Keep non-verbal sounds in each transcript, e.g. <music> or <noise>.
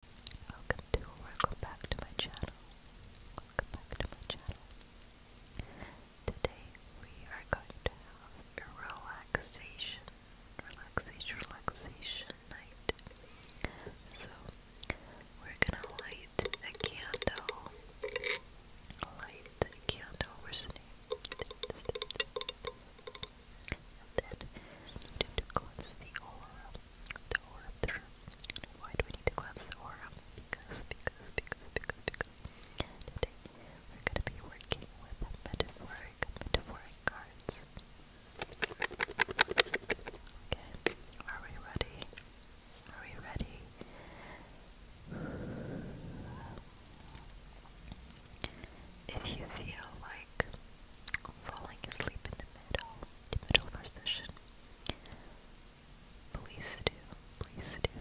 Welcome back to my channel. Welcome back to my channel. Today we are going to have a relaxation, relaxation, relaxation night. So we're gonna light a candle. Light a candle. Where's the name? And then to cleanse the aura. Why do we need to cleanse the aura? Because, because, because, because, because today we're going to be working with metaphoric, metaphoric cards. Okay, are we ready? Are we ready? If you feel like falling asleep in the middle middle of Please do, please do.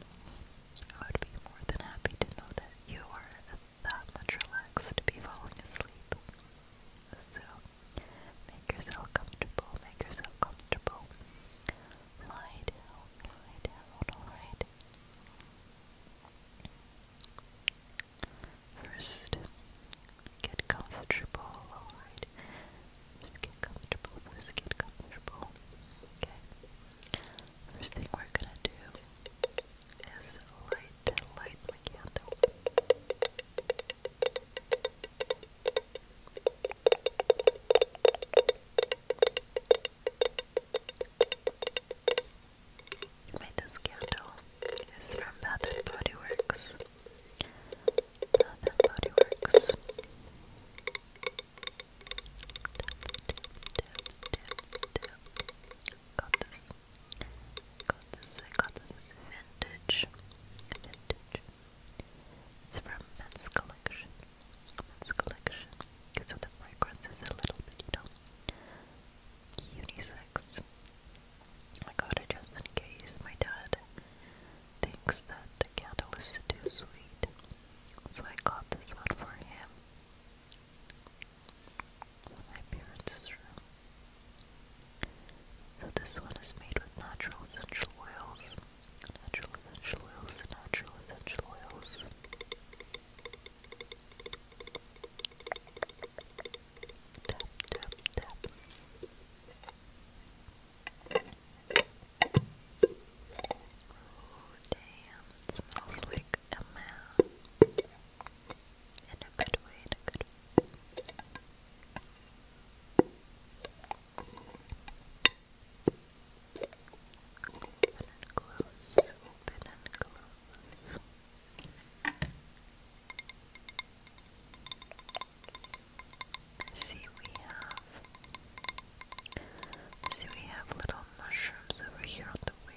I would be more than happy to know that you are that much relaxed to be falling asleep. So, make yourself comfortable, make yourself comfortable. Lie down, lie down, alright. First, get comfortable, alright? Just get comfortable, first get comfortable. Okay. First thing we're gonna do is light, light my candle. Wait, this candle is from Bath and Body Works. Bath Got this. Got this. I got this vintage. Vintage. It's from Men's Collection. Men's Collection. So the fragrance is a little bit, you know, unisex. I got it just in case my dad thinks that the candle is too sweet, so I got this one for him. my parents' room. So this one is made with natural essential oils. Natural essential oils, natural essential oils tap, tap, Oh, damn, smells like a man. In a good way, in a good way. Open and close, open and close see, we have. see, we have little mushrooms over here on the wig.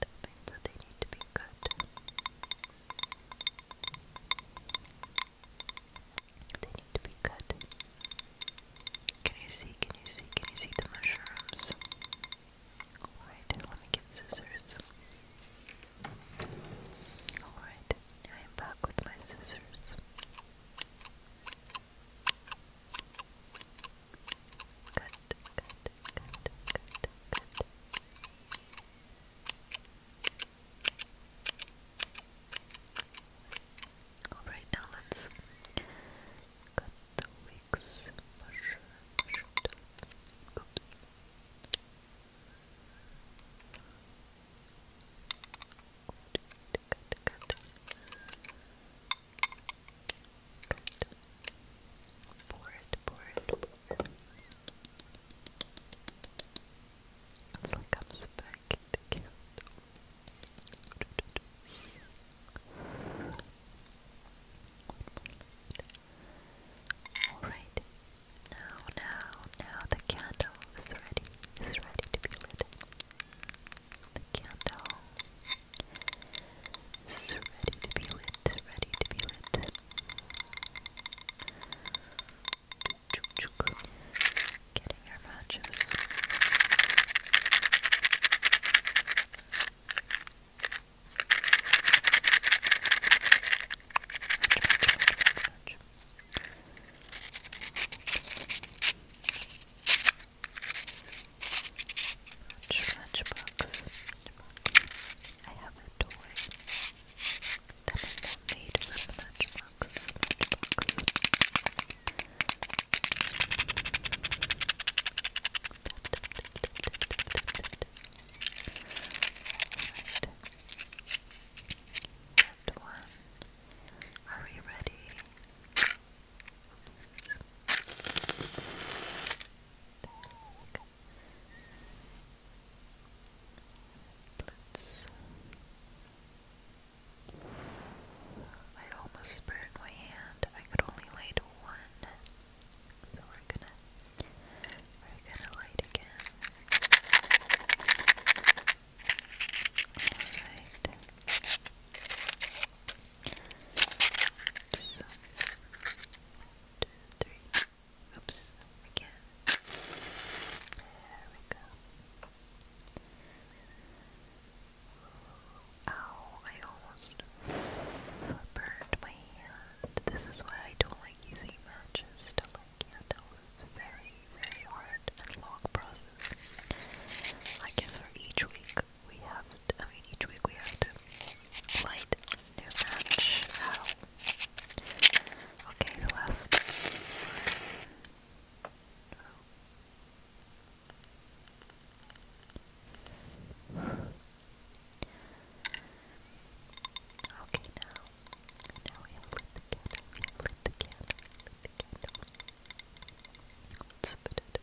That means that they need to be cut. They need to be cut. Can you see? Can you see? Can you see the mushrooms? Alright, let me get scissors. Alright, I am back with my scissors. Cut, cut, cut, cut, cut. Alright, now let's cut the wigs. Push, push, oops. Good, good, good. Pour it, pour it, pour it. It's like I'm spiking the candle. One more Alright, now, now, now the candle is ready, is ready to be lit. The candle is ready to be lit, ready to be lit. Getting our matches. Matchbox. I have a toy that is made with matchbox. matchbox. Alright. That one. Are we ready? Let's. I almost burned my hand. I could only light one so we're gonna we're gonna light again. Alright. So Oops, again. There we go. Ow, I almost burned my hand. This is why I don't like using Still, like you know, candles. It's a very, very hard and long process. I guess for each week we have, I mean, each week we have to light a new match. Okay, the last. Okay, now, now we have lit the candle, we have the candle, we the candle. Let's put it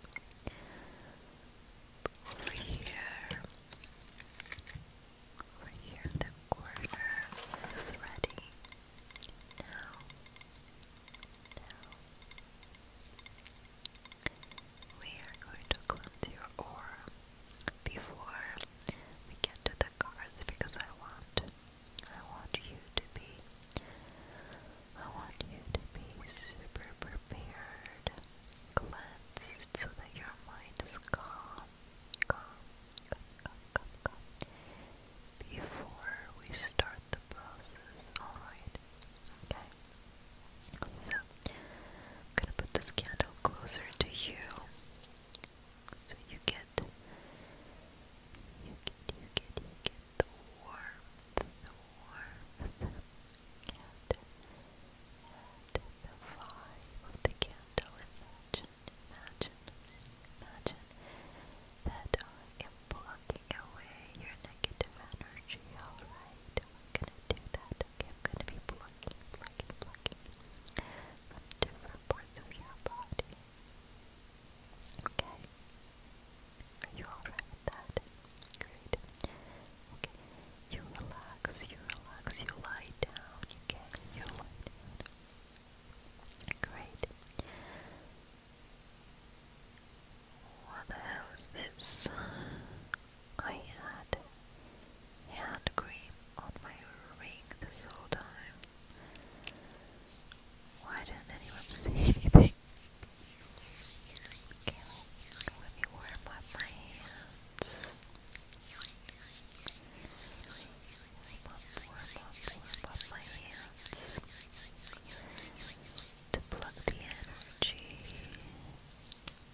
over here. Over here, the corner is ready. Now, now we are going to cleanse your aura before we get to the cards because I want I want you to be I want you to be super prepared, cleansed so that your mind is calm, calm, calm, calm, calm, calm before we start the process, alright? Okay. So I'm gonna put this candle closer to you so you get you get you get you get the warmth the warmth and, and the vibe of the candle imagine imagine imagine that I am blocking away your negative energy alright I'm gonna do that I'm going to be plucking, plucking, plucking different parts of your body. Okay. Are you alright with that? Great. Okay. You relax, you relax, you lie down, okay? You lie Great. What the hell is this? I had hand cream on my ring this whole time. Why didn't anyone <laughs> say anything? Okay, let warm up my hands. Warm up, warm up, warm up my hands. To plug the energy.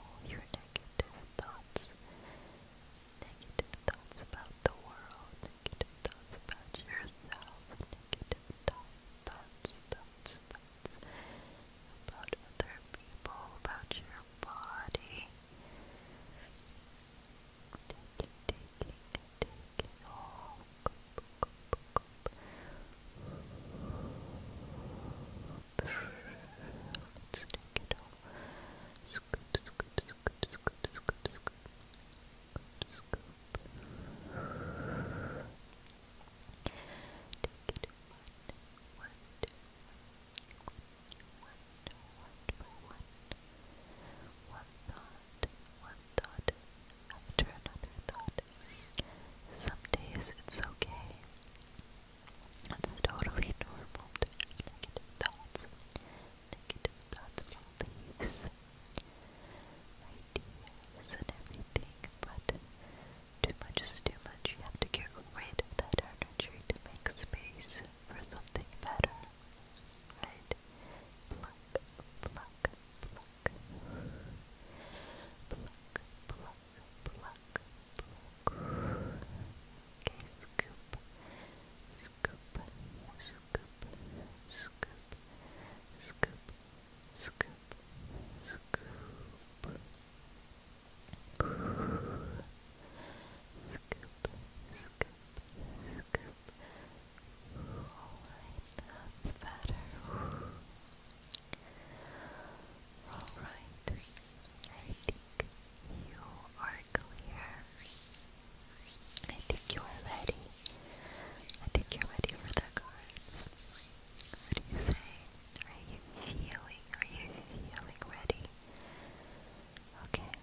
all your negative thoughts, negative thoughts about the world, negative thoughts about yourself, negative thoughts, thoughts, thoughts about other people, about your body. Take it, take take it all. One thought, one thought after another thought. Some days it's okay. It's totally normal to have negative thoughts. Negative thoughts, beliefs, ideas, and everything, but too much is too much. You have to get that energy to make space for something better. Right? Pluck, pluck, pluck. Pluck, pluck, Pluck, pluck, pluck. Okay, scoop, scoop, scoop, scoop, scoop, scoop, scoop. Scoop, scoop, scoop. Alright, that's better. Alright, I think you are clear. I think you are ready. I think you're ready for the cards. What do you say? Are you feeling? Are you feeling ready? Okay.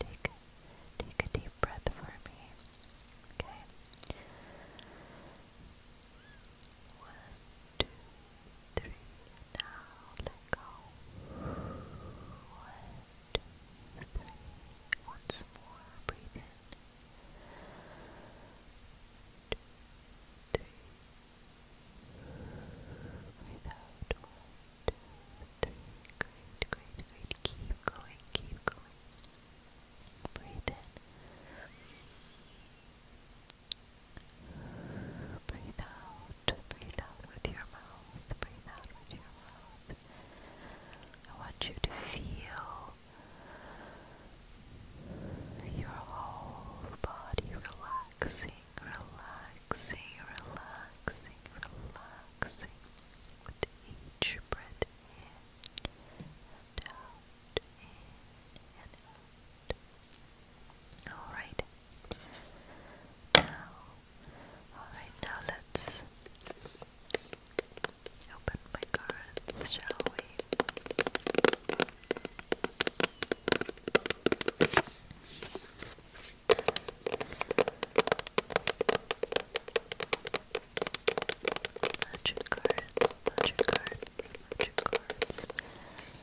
Take take a deep breath for me. Okay. One, two, three, now let go. One, two, three, once more, breathe in. Two, three, breathe out. One, two, three, great, great, great. Keep going, keep going. Breathe in. Breathe out, breathe out with your mouth, breathe out with your mouth. I want you to feel your whole body relaxing, relaxing, relaxing, relaxing with each breath in and out, Alright. Now, alright, now let's open my cards, shall we? Magic cards, magic cards, magic cards.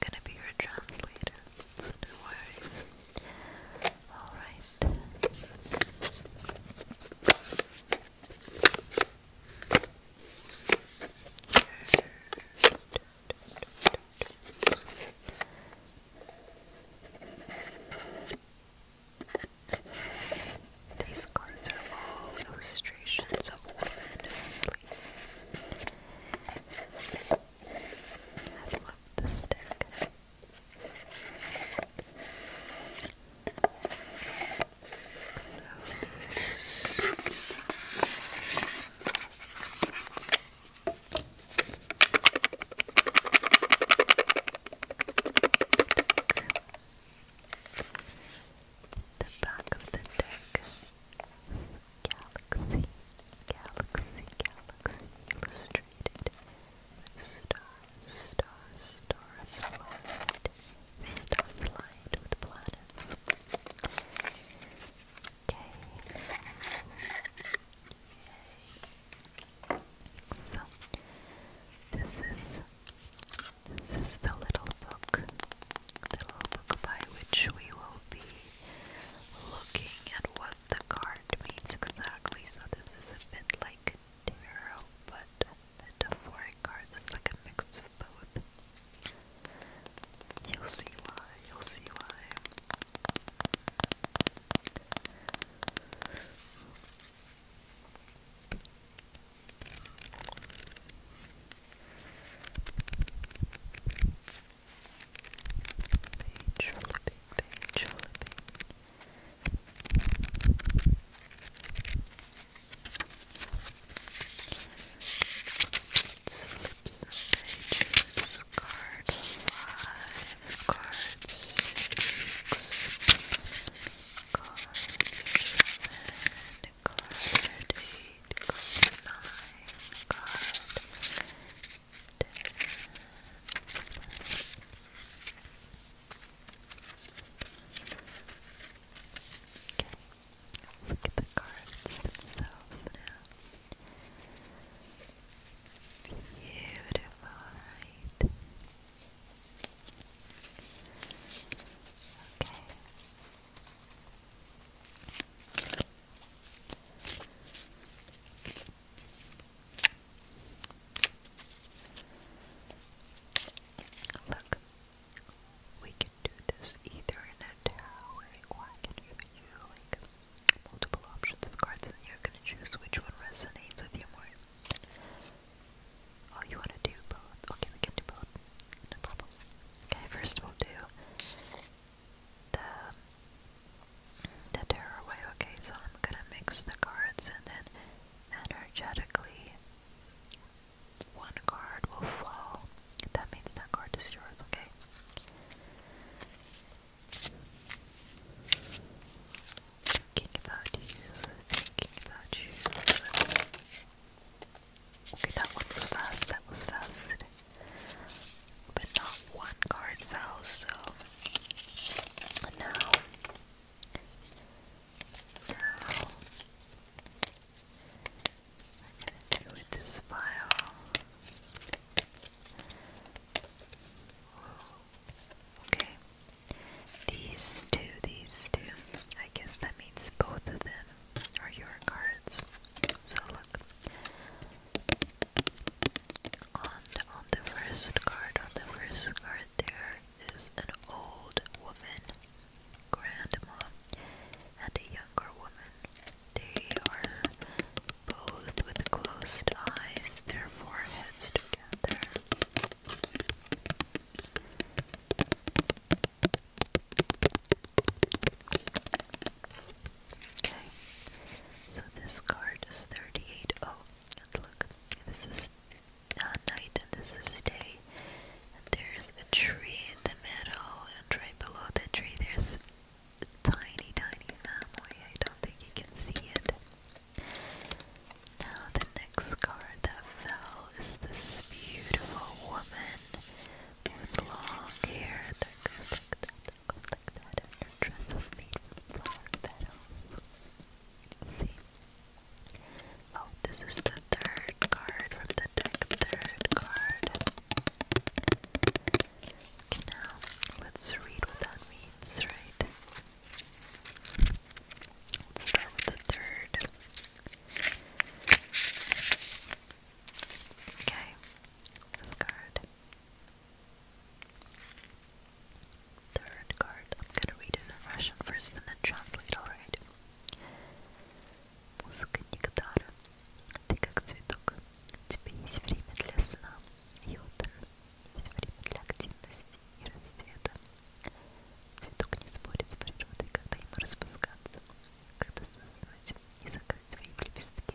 gonna be your translator, so no worries. Alright. These cards are all illustrations of women I love the stick. The back of the deck Galaxy, Galaxy, Galaxy Illustrated Star, Star, Stars Aligned Stars Aligned with Planets Okay So, this is this is the little book, the little book by which we will be looking at what the card means exactly. So this is a bit like tarot, but metaphoric cards. It's like a mix of both. You'll see why. You'll see why. Okay, Jollibee, Jollibee. Let's flip some pages. Card five, card six, card seven, card eight. Let's look at the cards themselves now. Beautiful, right? Okay. Look, we can do this either in a tarot way, or I can give you like multiple options of cards, and you're gonna choose which one resonates with you more. Oh, you wanna do both? Okay, we can do both. No problem. Okay, first we'll do the, the terror away. Okay, so I'm gonna mix the cards and then energetically one card will fall. That means that card is yours, okay? Thinking about you, thinking about you. Okay, that one was fast, that was fast. But not one card fell, so now, now I'm gonna do with this file. Okay. These two, these two. I guess that means both of them are your cards. So look on the first card, on the first card, there is an old woman, grandma, and a younger woman. They are both with closed eyes, their foreheads together. Okay, so this card is 38. Oh, and look, this is uh, night and this is day. And there's a tree in the meadow, and right below the tree, there's a tiny, tiny family. I don't think you can see it. Now, the next card that fell is this beautiful woman with long hair Oh, this is the third card from the deck. Third card. now let's read what that means, right? Let's start with the third. Okay, this card. Third card. I'm gonna read it in Russian first and then translate, alright? Музыка Нектара. Ты как цветок. У тебя есть время для сна и отдыха. Есть время для активности и расцвета. Цветок не спорит с природой, когда ему распускаться, когда заснуть и закрыть свои лепестки.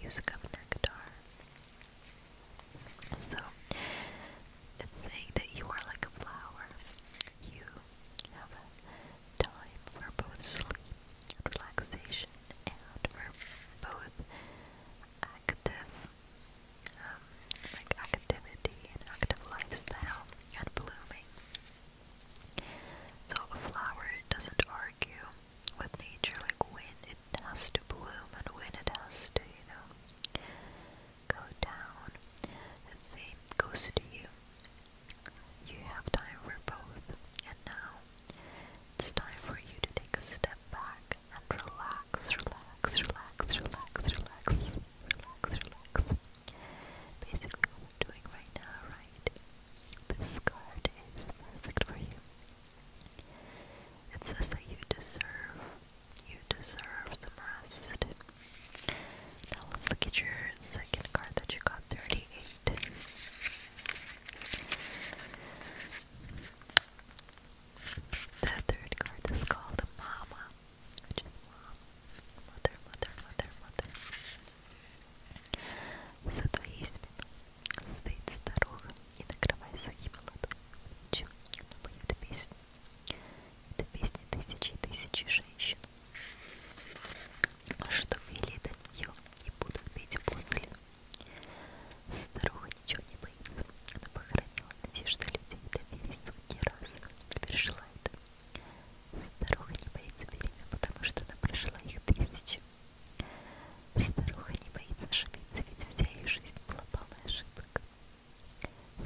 music of nectar. So it's saying that you are like a flower. You have time for both sleep and relaxation and for both active um, like activity and active lifestyle and blooming. So a flower doesn't with nature, like when it has to bloom and when it has to, you know, go down. The same goes to you. You have time for both, and now it's time for you to take a step back and relax, relax, relax, relax, relax, relax, relax. Basically, what we're doing right now, right? This card is perfect for you. It says that you deserve, you deserve some rest. Now let's look at your second card that you got, 38. The third card is called the Mama, which is Mom, Mother, Mother, Mother, Mother. So the Стоит старуха и накрывая своими ладонями она поет песню. Это песни тысячи и тысячи женщин, а что вели до нее и будут петь после. Старуха ничего не боится, она похоронила надежды людей, доверие сотни раз, пережила это. Старуха не боится беременна, потому что она прошла их тысячи. Старуха не боится ошибиться, ведь вся их жизнь была полна ошибок.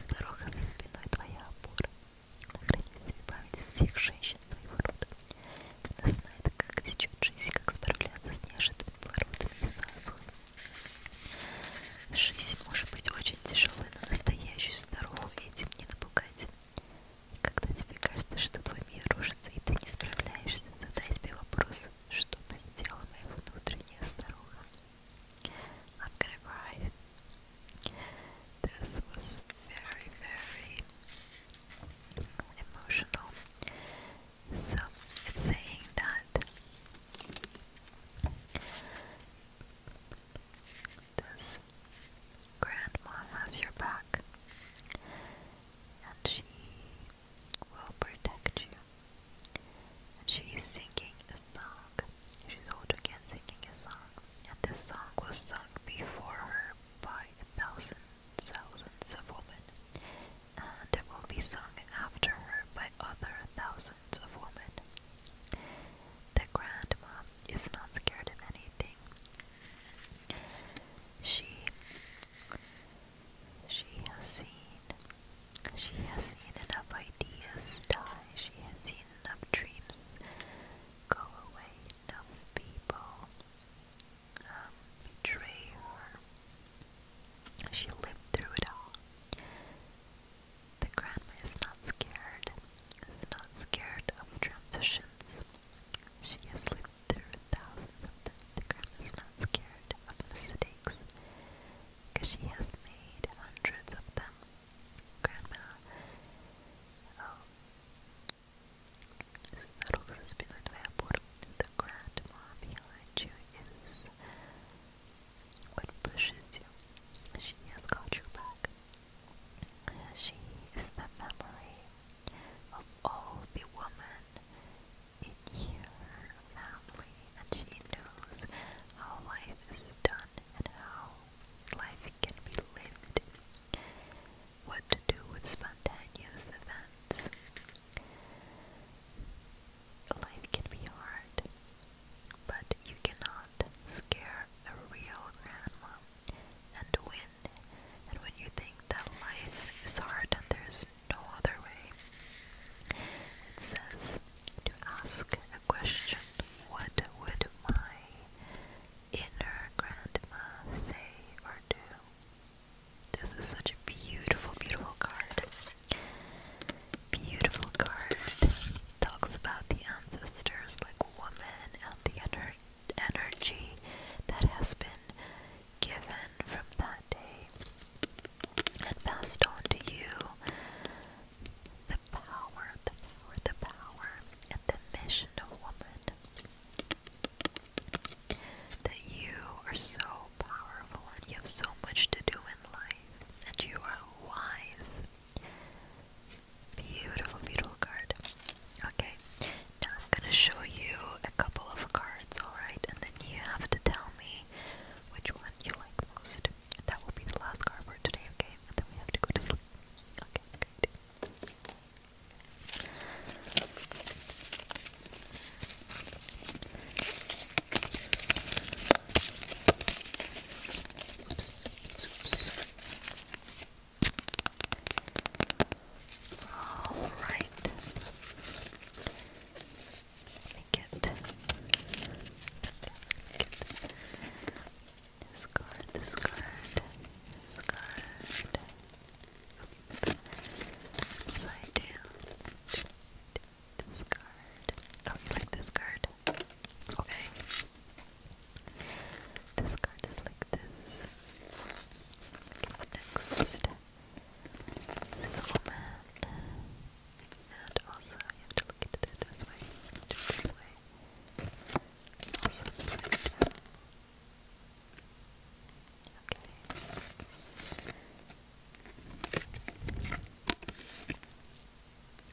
Старуха за спиной твоя опора. Награди тебе память всех женщин твоего рода. Она знает, как течет жизнь, как справляться с неожиданными поворотами и сансурами. Жизнь может быть очень тяжелой, но настоящую старуху этим не напугать. И когда тебе кажется, что твой мир рушится, и ты не справляешься, Задай себе вопрос, что бы сделала моя внутренняя старуха. I'm gonna cry. This was very, very emotional. So it's saying that this grandma has your back and she will protect you. she is singing a song. She's old again singing a song. And this song was sung before her by a thousand thousands of women. And it will be sung after her by other thousands of women. The grandma is not scared of anything. She she has seen. She has seen enough ideas die. She has seen enough dreams go away. Enough people um, betray her. She lived through it all. The grandma is not scared. Is not scared of transitions. She has lived through thousands of them, the is not scared of mistakes because she has made hundreds of them. Grandma, oh, spero che si spiega твоя бурma. The grandma behind you is what pushes you. She has got your back. She is the memory of all the women in your family and she knows how life is done and how life can be lived. What to do with spontaneous events. Life can be hard, but you cannot scare a real grandma. And when and when you think that life is hard and there's no other way, it says to ask a question what would my inner grandma say or do? This is such a beautiful, beautiful card. Beautiful card. Talks about the ancestors, like women, and the energy that has been given from that day and passed on to you the power, the power, the power, and the mission of woman. That you are so powerful and you have so much to do in life, and you are wise. Beautiful, beautiful card. Okay, now I'm gonna show you a couple of cards, alright? And then you have to tell me which one you like most. that will be the last card for today, okay? And then we have to go to sleep. Okay, all right. get, get this card, this down. This card. Oh, this card? Okay. This card is like this. Next this woman. And also, you have to look at it this way, this way. Also Okay.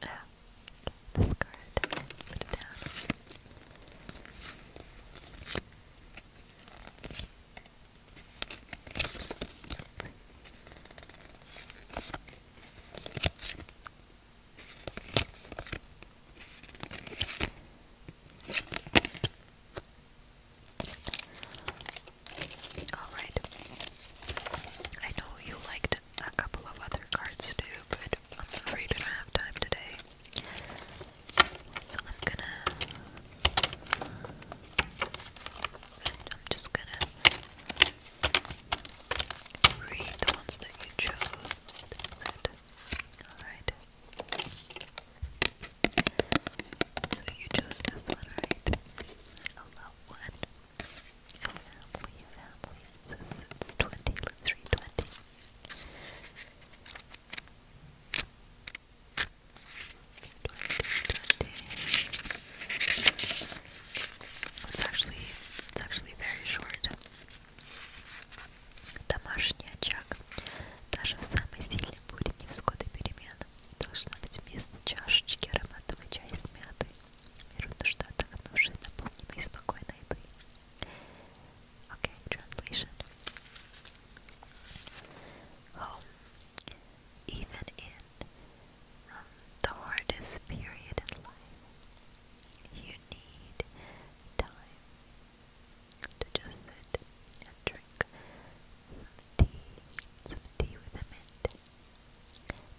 Ah, this card. Put it down. Alright. I know you liked a couple of other cards too, but I'm afraid I don't have time today. So I'm gonna. I'm just gonna read the ones that you chose. Alright. So you chose this one, right? A love one. A family, family. It says It's actually it's actually very short. Домашний очаг даже в самый сильный бурь невзгоды перемен должна быть вместо чашечки ароматного чая с мятой. Миру нужно отдохнувшей, наполненной спокойной едой. Okay, translation. Home, oh, even in um, the hardest period in life, you need time to just sit and drink tea, some tea with a mint.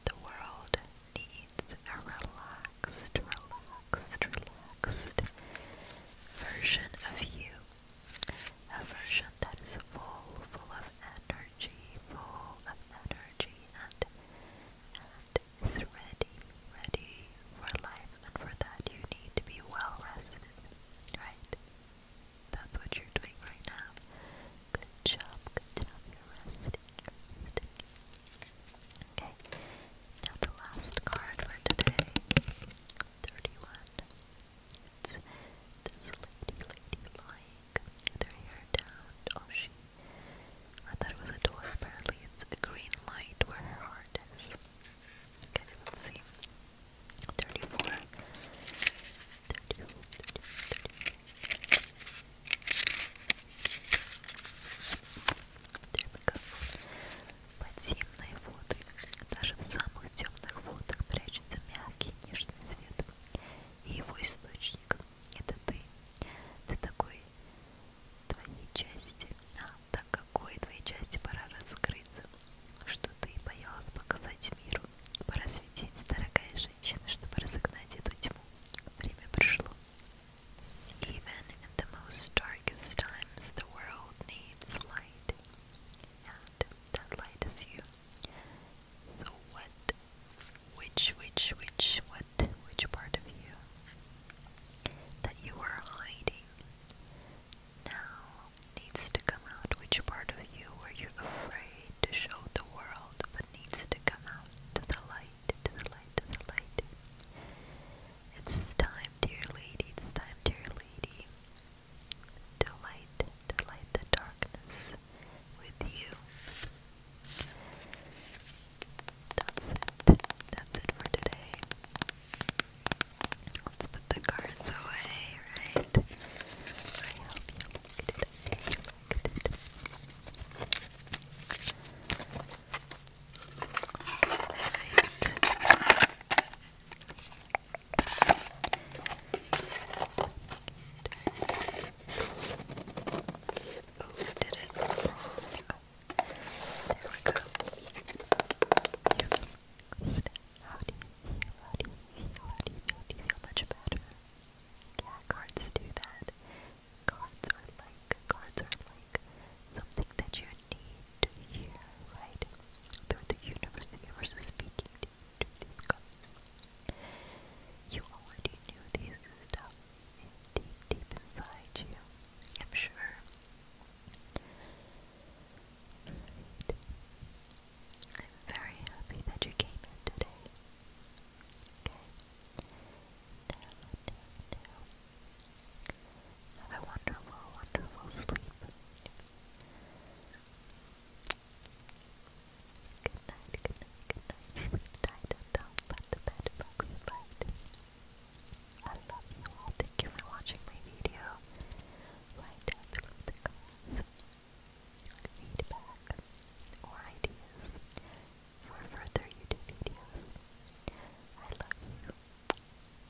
The world needs a relaxed, relaxed, relaxed version of you a version that is full, full of energy, full of energy, and, and is ready, ready for life. And for that, you need to be well rested, right? That's what you're doing right now. Good job, good job. You're resting, Okay, now the last card for today 31 this lady, lady lying with her hair down. Oh, she. I thought it was a door. Apparently, it's a green light where her heart is. Okay, let see. 34. There we go. Подземные воды. Даже в самых темных водах прячется мягкий нежный свет. И его источник — это ты. Ты такой... Твоей части. А, так какой твоей части пора раскрыться. Что ты боялась показать миру. Пора светить, дорогая женщина, чтобы разогнать эту тьму. Время пришло. Even in the most darkest times the world needs light. that light is you. So what, which, which, which, what, which part of you that you were hiding now needs to come out? Which part of you were you afraid to show the world but needs to come out to the light, to the light, to the light? It's time, dear lady, it's time, dear lady, to light, the darkness with you. That's it. That's it for today. Let's put the cards away, right? I Oh, There we go. You've fixed. How you feel much better? Yeah, cards do that. Cards are like, cards are like something that you need to hear, right? Through the universe, the universe is speaking to these colors. You already knew these stuff deep, deep inside you, I'm sure. I'm very happy that you came in today. Okay. Now, now, now. Have a wonderful, wonderful sleep. Good night, good night, good night. Sleep tight and don't let the bed bugs bite. I love you all. Thank you for watching my video. Write down feedback or ideas for further YouTube videos. I love you.